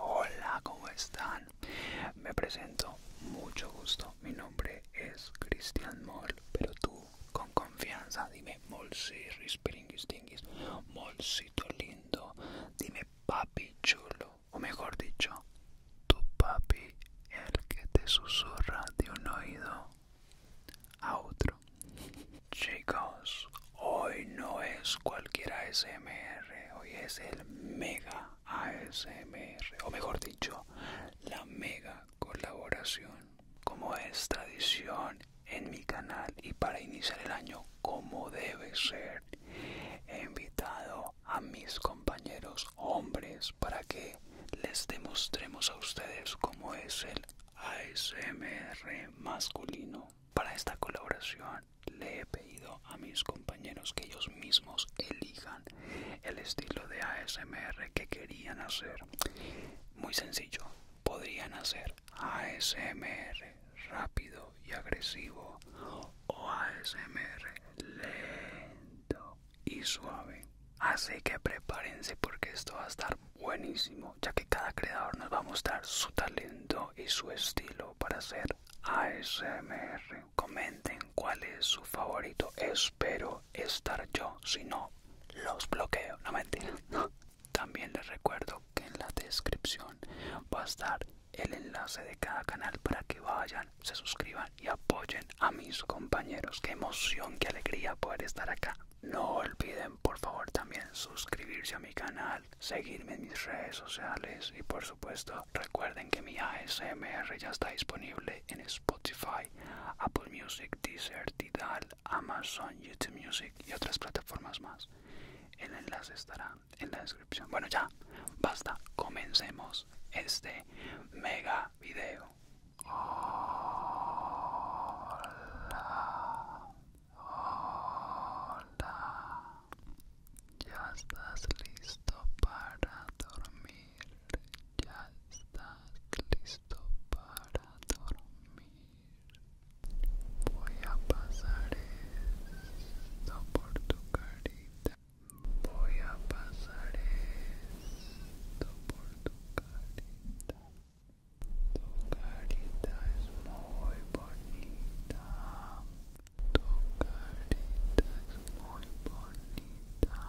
Hola, hola, ¿cómo están? Me presento, mucho gusto. Mi nombre es Cristian More pero tú con confianza dime Molsi Molsito lindo, dime papi chulo, o mejor dicho, tu papi, el que te susurra de un oído a otro. Chicos, hoy no es cualquier ASMR, hoy es el mega ASMR, o mejor dicho, la mega colaboración. Como es tradición en mi canal y para iniciar el año como debe ser, he invitado a mis compañeros hombres para que les demostremos a ustedes cómo es el ASMR masculino. Para esta colaboración le he pedido a mis compañeros que ellos mismos elijan el estilo de ASMR que querían hacer. Muy sencillo, podrían hacer ASMR rápido y agresivo o ASMR lento y suave. Así que prepárense porque esto va a estar buenísimo, ya que cada creador nos va a mostrar su talento y su estilo para hacer ASMR. Comenten cuál es su favorito. Espero estar yo, si no, los bloqueo. No mentira. También les recuerdo que en la descripción va a estar el enlace de cada canal para que vayan, se suscriban y apoyen a mis compañeros. Qué emoción, qué alegría poder estar acá. No olviden por favor también suscribirse a mi canal, seguirme en mis redes sociales y por supuesto recuerden que mi ASMR ya está disponible en Spotify, Apple Music, Deezer, Tidal, Amazon, YouTube Music y otras plataformas más. El enlace estará en la descripción. Bueno, ya, basta, comencemos este mega video. Hola, hola, ya estás listo para dormir. ya estás listo para dormir. Voy a pasar esto por tu carita. Voy a pasar esto por tu carita. Tu carita es muy bonita. Tu carita es muy bonita.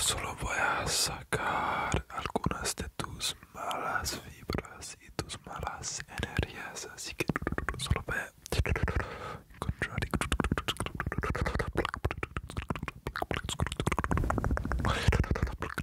Solo voy a sacar algunas de tus malas fibras y tus malas energías, así que solo voy a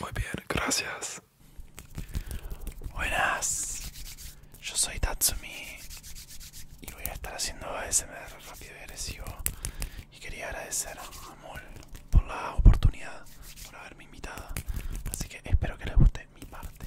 Muy bien, gracias. Buenas, yo soy Tatsumi y voy a estar haciendo ASMR rápido y agresivo. Y quería agradecer a Amol por la oportunidad, por haberme invitado. Así que espero que les guste mi parte.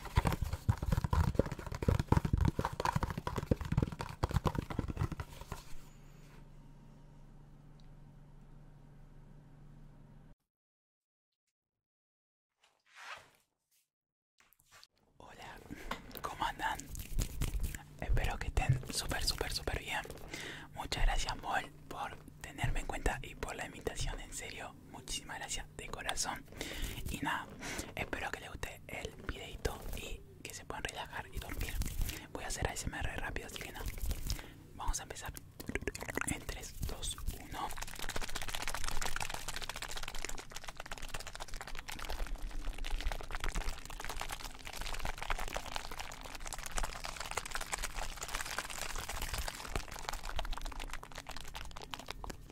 Hola, ¿cómo andan? Espero que estén súper, súper, súper bien. Muchas gracias, Moll por tenerme en cuenta y por la invitación. En serio, Muchísimas gracias de corazón. Y nada, espero que les guste el videito y que se puedan relajar y dormir. Voy a hacer ASMR rápido, así que Vamos a empezar en 3, 2, 1.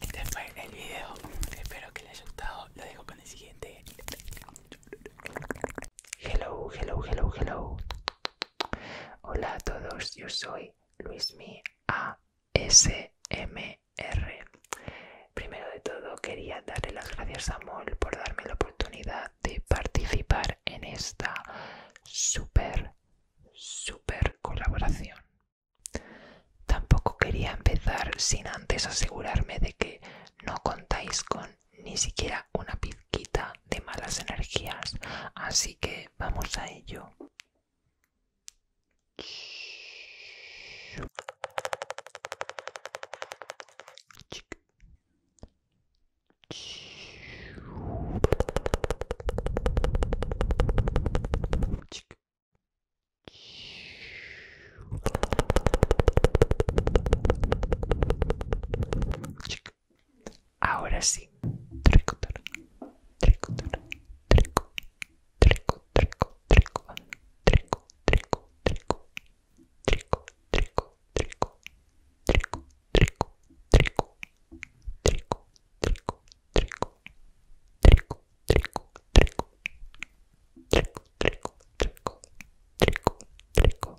Este fue el video, espero que les haya gustado, lo dejo con el siguiente. Hello, hello, hello, hello. Hola a todos, yo soy Luismi ASMR. Primero de todo quería darle las gracias a Mol por darme la oportunidad de participar en esta super, super colaboración. Tampoco quería empezar sin antes asegurarme de que no contáis con ni siquiera una pizquita de malas energías, así que vamos a ello. Ahora sí. Trico, trico, trico, trico, trico, trico, trico, trico, trico, trico, trico, trico, trico, trico, trico, trico,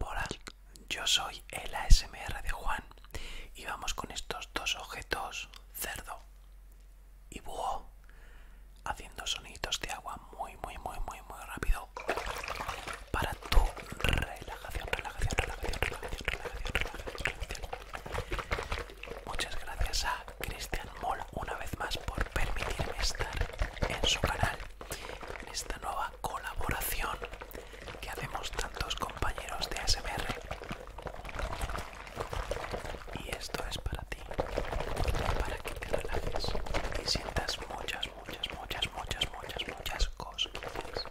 Hola, yo soy el ASMR de Juan y vamos con estos dos objetos, cerdo y búho, haciendo sonidos de agua muy, muy, muy, muy, muy rápido para tu relajación, relajación, relajación, relajación, relajación, relajación. Muchas gracias a Cristian Moll una vez más por permitirme estar en su canal, en esta nueva colaboración que hacemos tantos compañeros de ASMR. Y esto es para ti, para que te relajes y sientas muchas, muchas, muchas, muchas, muchas, muchas cosquillas.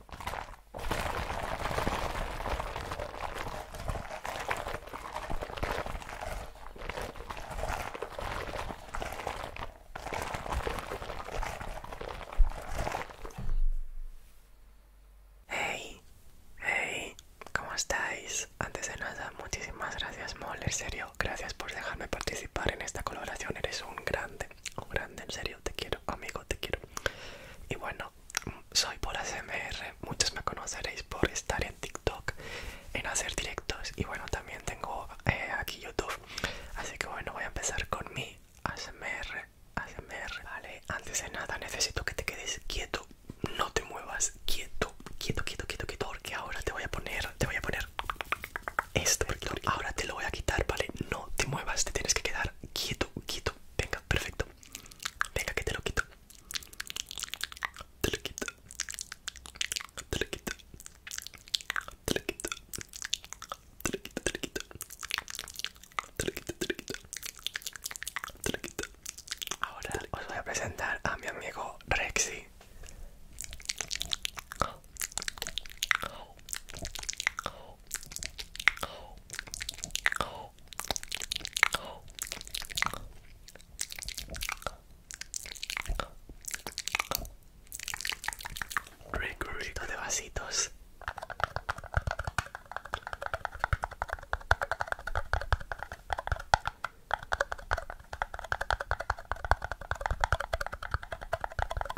Hey, hey, ¿cómo estáis? Antes de nada, muchísimas gracias, Moller, serio, gracias por dejarme participar en esta colaboración, eres un grande grande, grande, en serio, te quiero, amigo, te quiero. Y bueno, soy por ASMR, muchos me conoceréis por estar en TikTok, en hacer directos y bueno, también tengo eh, aquí YouTube. Así que bueno, voy a empezar con mi ASMR, ASMR, ¿vale? Antes de nada necesito que te quedes quieto, no te muevas, quieto, quieto, quieto, quieto, quieto, porque ahora te voy a poner, te voy a poner esto. ahora te lo voy a quitar, ¿vale? No te muevas, te tienes que quedar quieto, quieto. Venga, perfecto. Venga, que te lo quito. Te lo quito. Te lo quito. Te lo quito. Te lo quito, te lo quito. Te lo quito, te lo quito. Te lo quito. Ahora os voy a presentar a mi amigo Rexy. Rico, de vasitos.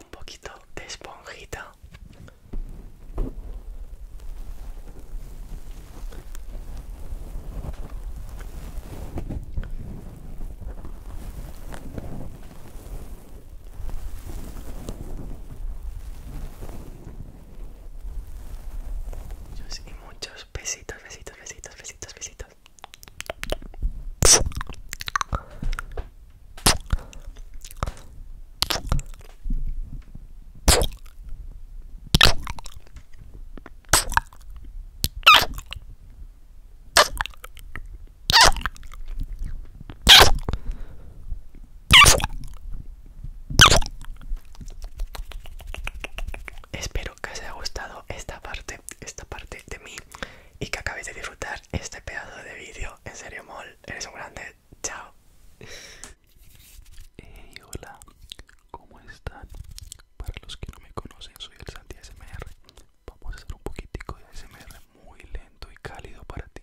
Un poquito de esponjita. Muchos y muchos besitos, besitos, besitos, besitos, besitos. Espero que os haya gustado esta parte, esta parte de mí y que acabéis de disfrutar este pedazo de vídeo. En serio, mol, eres un grande. Chao. hola, ¿cómo están? Para los que no me conocen, soy el Santi SMR. Vamos a hacer un poquitico de SMR muy lento y cálido para ti.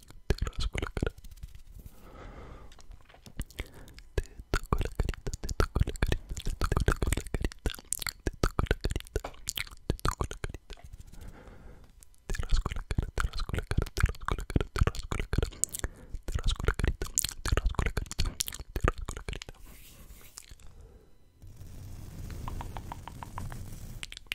te rasco la cara, te toco la carita, te toco la carita, te toco la carita, te toco la carita, te toco la carita, te rasco la cara, te rasco la cara, te rasco la cara, te rasco la cara, te rasco la carita, te rasco la carita, te rasco la carita.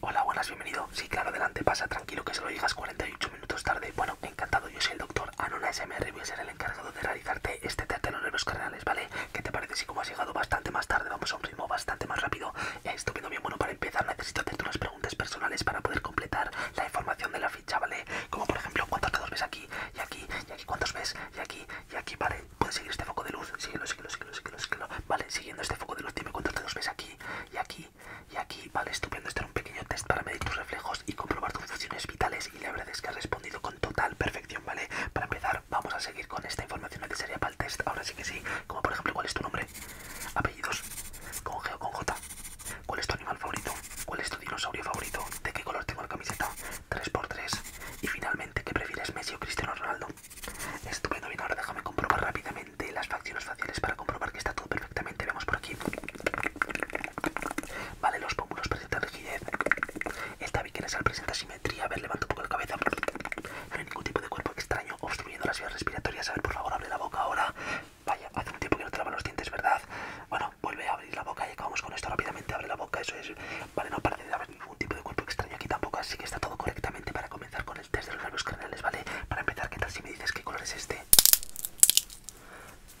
Hola, buenas, bienvenido. Sí, claro, adelante, pasa tranquilo que se lo digas 48 minutos tarde. Bueno, encantado, yo soy el doctor Anuna SMR y voy a ser el encargado de realizarte este teatro de los nervios craneales, ¿vale? ¿Qué te parece si como has llegado bastante más tarde vamos a un ritmo bastante más rápido? Estupendo, bien, bueno, para empezar necesito hacerte unas preguntas personales para poder completar la información de la ficha, ¿vale? Como por ejemplo, ¿cuántos dedos ves aquí? Y aquí, y aquí, ¿cuántos ves? Y aquí, y aquí, ¿vale? puedes seguir este foco de luz, síguelo, síguelo, síguelo, síguelo, síguelo. Vale, siguiendo este foco de luz, dime cuántos dedos ves aquí y aquí y aquí. Vale, estupendo. estar un pequeño test para medir tus reflejos y comprobar tus funciones vitales. Y la verdad es que has respondido con total perfección, ¿vale? Para empezar, vamos a seguir con esta información necesaria para el test. Ahora sí que sí, como por ejemplo, ¿cuál es tu nombre? Apellidos, con G o con J. ¿Cuál es tu animal favorito? ¿Cuál es tu dinosaurio favorito? ¿De qué color tengo la camiseta? 3x3. Y finalmente, ¿qué prefieres, Messi o Cristiano Ronaldo? Estupendo, bien, ahora déjame comprobar rápidamente las facciones faciales para comprobar que está todo perfectamente. Vemos por aquí. Vale, los pómulos presentan rigidez. Esta al presenta simetría. A ver, levanto un poco la cabeza. No hay ningún tipo de cuerpo extraño obstruyendo las vías respiratorias. A ver, por favor, abre la boca ahora. Vaya, hace un tiempo que no traba los dientes, ¿verdad? Bueno, vuelve a abrir la boca y acabamos con esto rápidamente. Abre la boca, eso es. Vale, no parece de haber ningún tipo de cuerpo extraño aquí tampoco, así que está todo correctamente para comenzar con el test de los nervios craneales, ¿vale? Para empezar, ¿qué tal si me dices qué color es este?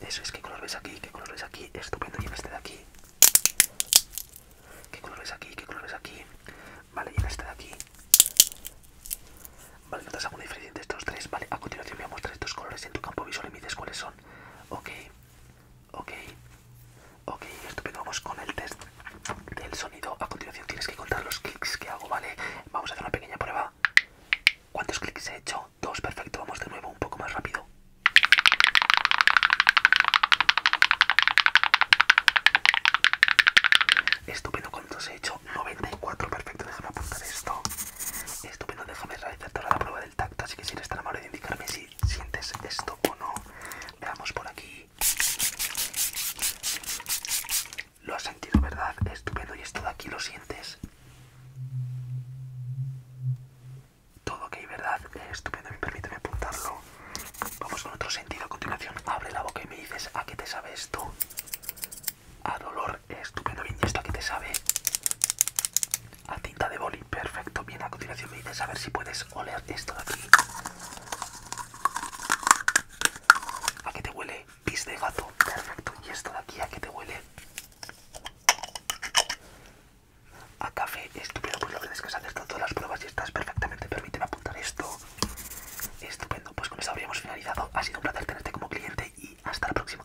Eso es, ¿qué color ves aquí? ¿Qué color ves aquí? Estupendo, llena este de aquí. ¿Qué color ves aquí? ¿Qué color ves aquí? Vale, llena este de aquí. Vale, ¿notas alguna diferencia entre estos tres? Vale, a continuación voy a mostrar estos colores en tu campo visual y me dices cuáles son. Ok, Ok, ok, estupendo. Vamos con el test del sonido. A continuación tienes que contar los clics que hago, ¿vale? Vamos a hacer una pequeña prueba. ¿Cuántos clics he hecho? Dos, perfecto. Vamos de nuevo, un poco más rápido. Estupendo, ¿cuántos he hecho? 94, perfecto. Déjame apuntar esto. Estupendo, déjame realizar toda la prueba del tacto. Así que si eres tan amable de indicarme si sientes esto o no. Veamos por aquí. Lo has sentido, ¿verdad? Estupendo. ¿Y esto de aquí lo sientes? Todo ok, ¿verdad? Estupendo. Me permíteme apuntarlo. Vamos con otro sentido. A continuación, abre la boca y me dices a qué te sabe esto. A dolor. Estupendo. ¿y esto a qué te sabe? a tinta de boli. Perfecto. Bien, a continuación me dices a ver si puedes oler esto de aquí. ¿A qué te huele? Pis de gato. Perfecto. ¿Y esto de aquí a qué te huele? A café. Estupendo. Pues lo que que has hecho todas las pruebas y estás perfectamente. Permíteme apuntar esto. Estupendo. Pues con eso habríamos finalizado. Ha sido un placer tenerte como cliente y hasta la próxima.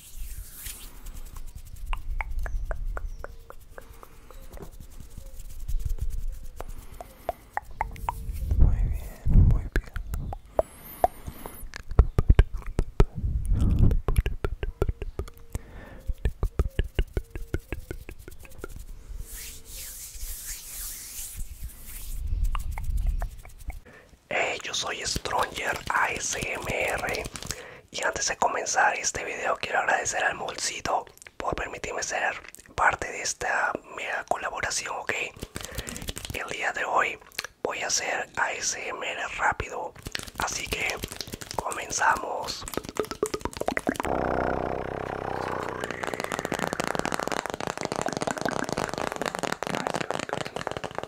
Muy bien, muy bien yo soy Stronger ASMR y antes de comenzar este video quiero agradecer al Molcito por permitirme ser parte de esta mega colaboración, ok. El día de hoy voy a hacer ASMR rápido, así que comenzamos.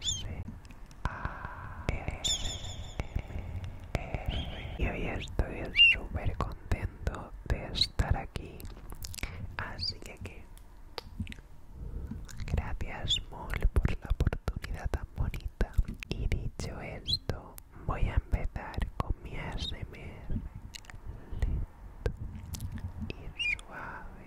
S y hoy estoy súper contento de estar aquí así que, que gracias mol por la oportunidad tan bonita y dicho esto voy a empezar con mi ASMR lento y suave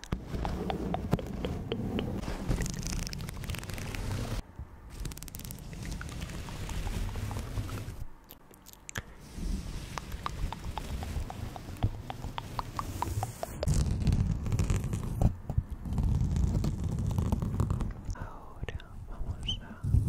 Ahora vamos a hacer un poquito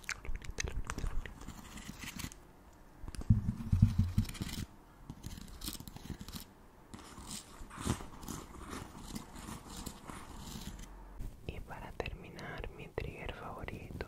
Y para terminar, mi trigger favorito.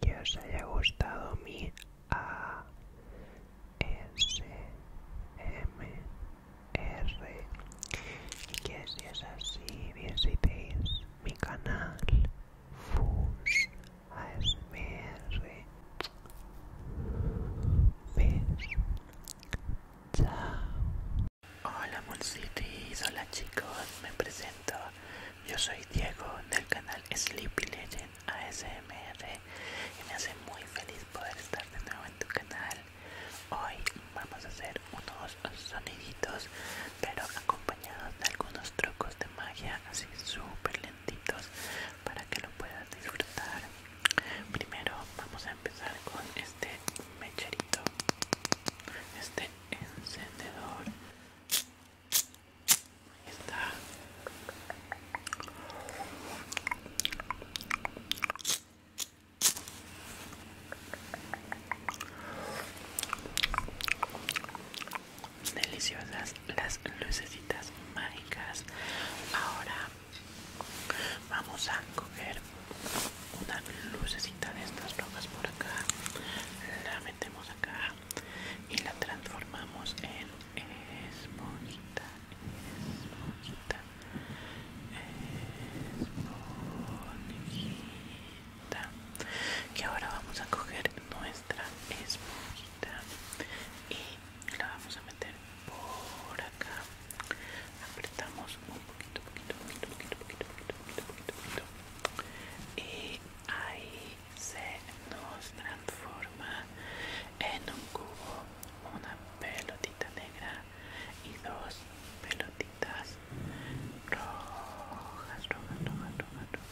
que os haya gustado mi a s ASMR y que si es así visitéis mi canal FUS ASMR p Chao Hola Moon City, hola chicos, me presento. Yo soy Diego del canal Sleepy Legend ASMR y me hace muy feliz poder estar de nuevo en tu canal. Hoy vamos a hacer unos soniditos, pero acompañados de algunos trucos de magia así súper lentitos para que lo puedas disfrutar. Primero vamos a empezar con este mecherito, este encendedor Deliciosas las lucecitas mágicas. Ahora vamos a coger una lucecita de estas rojas por acá acá y la transformamos en esponjita, esponjita, esponjita. y ahora vamos a coger nuestra esponjita y la vamos a meter por acá. Apretamos un poquito, poquito, poquito, poquito, poquito, poquito, poquito, poquito, poquito y ahí se nos transforma en un cubo una pelotita negra y dos pelotitas rojas, rojas, rojas, rojas, rojas,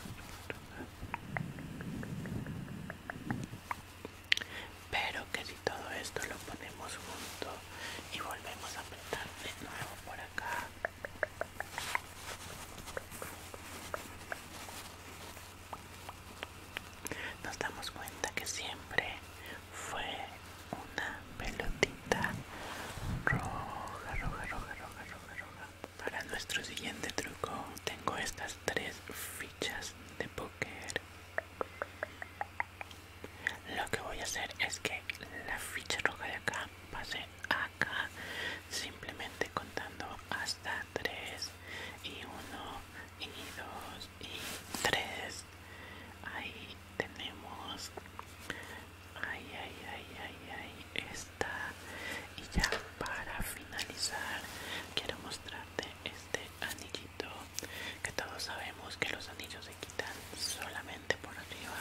rojas. Pero que si todo esto lo ponemos junto y volvemos a apretar de nuevo por acá nos damos cuenta que siempre fue una pelotita roja, roja, roja, roja, roja, roja. Para nuestro siguiente truco tengo estas tres fichas de póker. Lo que voy a hacer es que la ficha roja de acá pase acá simplemente contando hasta 3 y 1 y 2 y 3 ahí tenemos ahí, ay ay ay está y ya para finalizar quiero mostrarte este anillito que todos sabemos que los anillos se quitan solamente por arriba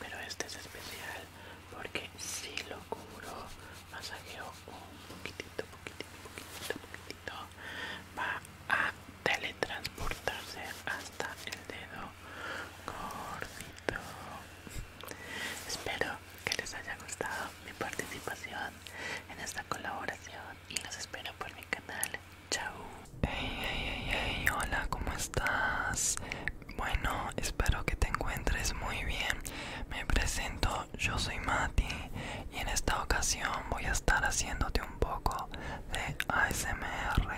pero este es especial porque si lo cubro, masajeo un poquitito, poquitito, poquitito, poquitito, va a teletransportarse hasta el dedo gordito. Espero que les haya gustado mi participación en esta colaboración y los espero por mi canal. Chao. Hey, hey, hey, hey, hola, ¿cómo estás? Bueno, espero que te encuentres muy bien. Me presento, yo soy Mati y en esta ocasión voy a estar haciéndote un poco de ASMR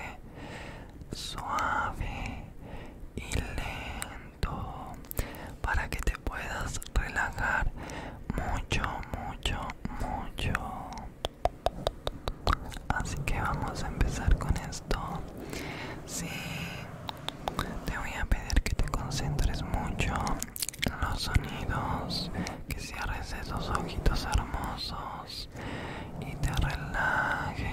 suave y lento para que te puedas relajar mucho, mucho, mucho así que vamos a empezar con esto sí te voy a pedir que te concentres mucho en los sonidos que cierres esos ojitos hermosos y te relajes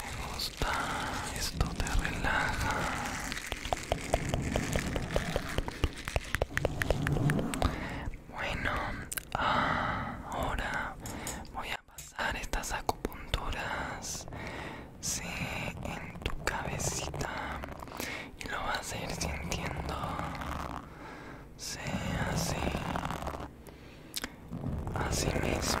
Me gusta, esto te relaja. Bueno, ahora voy a pasar estas acupunturas sí, en tu cabecita y lo vas a ir sintiendo sí, así así mismo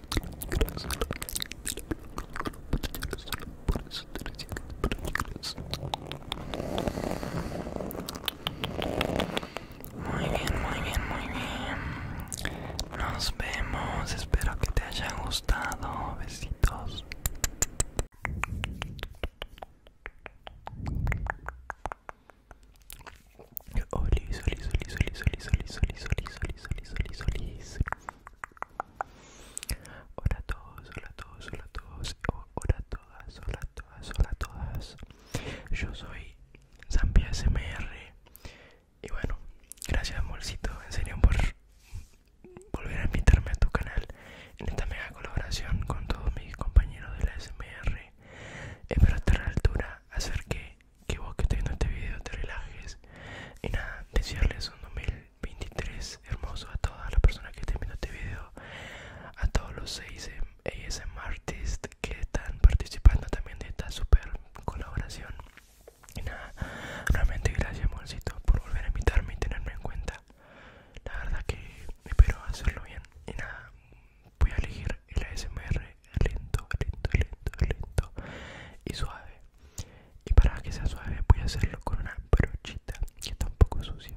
Muy bien, muy bien, muy bien. Nos vemos. Espero que te haya gustado. Besitos. Oli, Hola a todos, hola a todos, hola a todos, hola todas, hola a todas, hola a todas. Yo soy Zampi SMR y bueno, gracias Molcito, en serio por volver a invitarme a tu canal en esta mega colaboración con todos mis compañeros de la SMR. Espero estar a la altura, hacer que que vos que viendo este video te relajes y nada, desearles un 2023 hermoso a todas las personas que estén viendo este video, a todos los ASM em, artists que están participando también de esta super colaboración. Y nada, realmente gracias amorcito por volver a invitarme y tenerme en cuenta. La verdad que espero hacerlo bien. Y nada, voy a elegir el ASMR lento, lento, lento, lento y suave. Y para que sea suave voy a hacerlo con una brochita que está un poco sucia.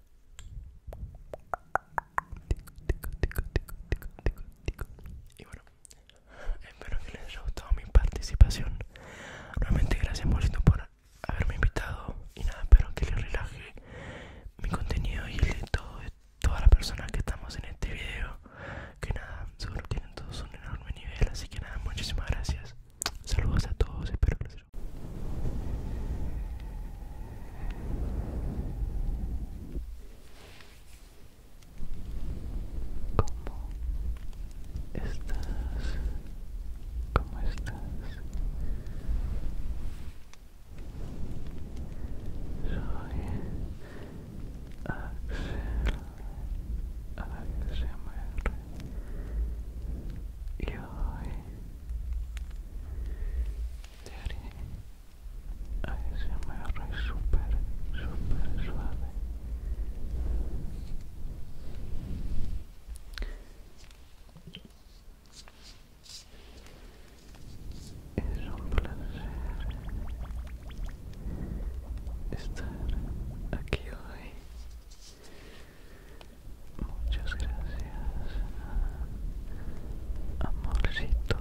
Y bueno, espero que les haya gustado mi participación. Realmente gracias Molito por haberme invitado y nada, espero que les relaje mi contenido y el de, todas las personas que estamos en este video. Que nada, seguro tienen todos un enorme nivel, así que nada, muchísimas gracias. Saludos a todos, espero que les haya gustado. ¿Cómo estás? ¿Cómo estás? Soy Axel ASMR y hoy te haré me es súper, súper suave. Es un placer estar aquí hoy. Muchas gracias, amorcito.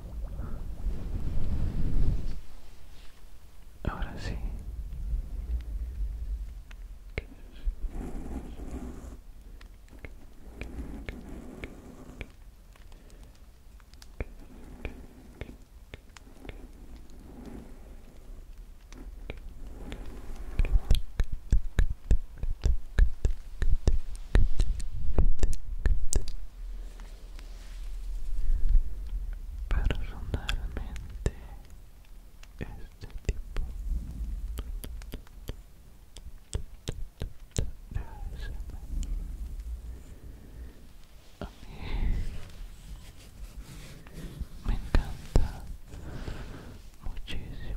Ahora sí. Personalmente, este tipo me encanta muchísimo.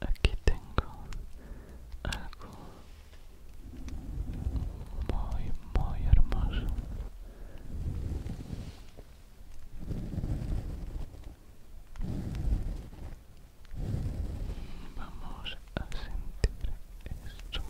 aquí tengo algo muy muy hermoso vamos a sentir esto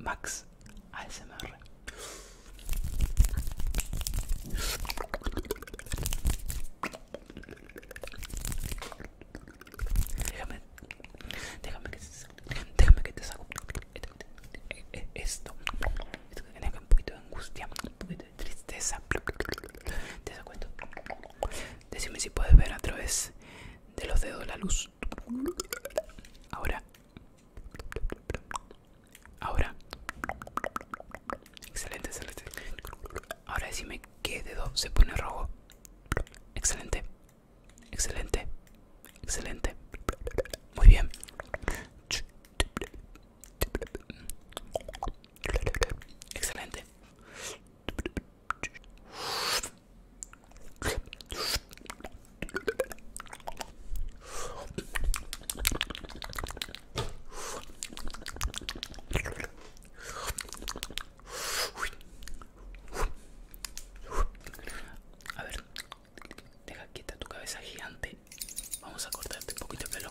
Max ASMR. Déjame, déjame que, déjame que te saco eh, eh, eh, esto. Esto que tiene un poquito de angustia, un poquito de tristeza. Te saco esto. Decime si puedes ver a través de los dedos la luz. Ahora. Ahora. Excelente, excelente. Ahora decime qué dedo se pone rojo. Excelente. Excelente. Excelente. Muy bien. Excelente. A ver, deja quieta tu cabeza gigante. Vamos a cortarte un poquito el pelo.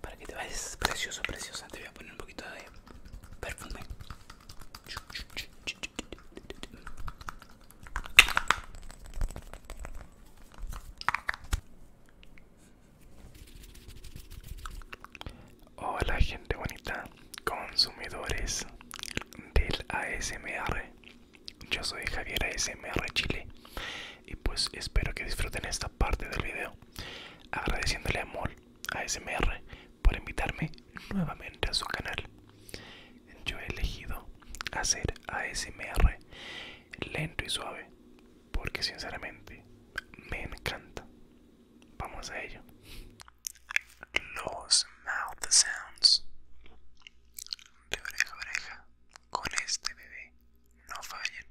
Para que te vayas precioso, preciosa, te voy a poner un poquito de perfume. Hola gente bonita, consumidores del ASMR. Yo soy Javier ASMR Chile y pues espero que disfruten esta parte del video. Agradeciéndole amor a ASMR por invitarme nuevamente a su canal. Yo he elegido hacer ASMR lento y suave, porque sinceramente me encanta. Vamos a ello. Los mouth sounds de oreja a oreja con este bebé no fallen.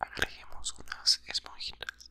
agregamos unas esponjitas.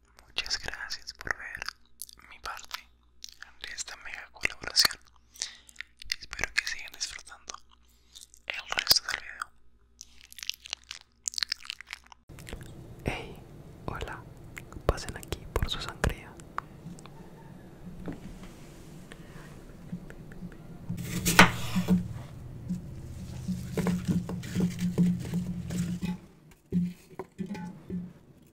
Muchas gracias por ver mi parte de esta mega colaboración. Espero que sigan disfrutando el resto del video. Hey, hola, pasen aquí por su sangría.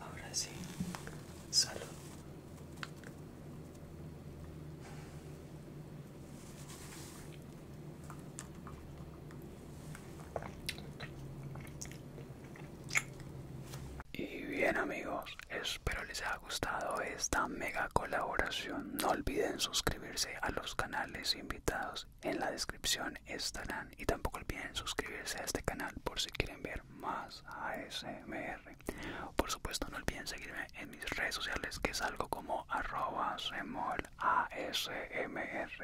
Ahora sí, salud. Y bien amigos, espero les haya gustado esta mega colaboración. No olviden suscribirse a los canales invitados. En la descripción estarán. Y tampoco olviden suscribirse a este canal por si quieren ver más ASMR. Por supuesto, no olviden seguirme en mis redes sociales, que es algo como arroba semol ASMR.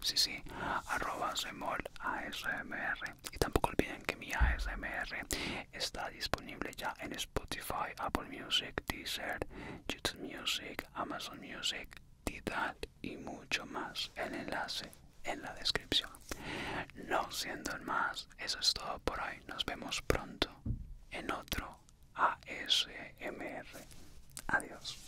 Sí, sí, arroba Y tampoco olviden que mi ASMR está disponible ya en Spotify, Apple Music, Deezer, YouTube Music, Amazon Music, Tidal y mucho más. El enlace en la descripción. No siendo más, eso es todo por hoy. Nos vemos pronto en otro ASMR. Adiós.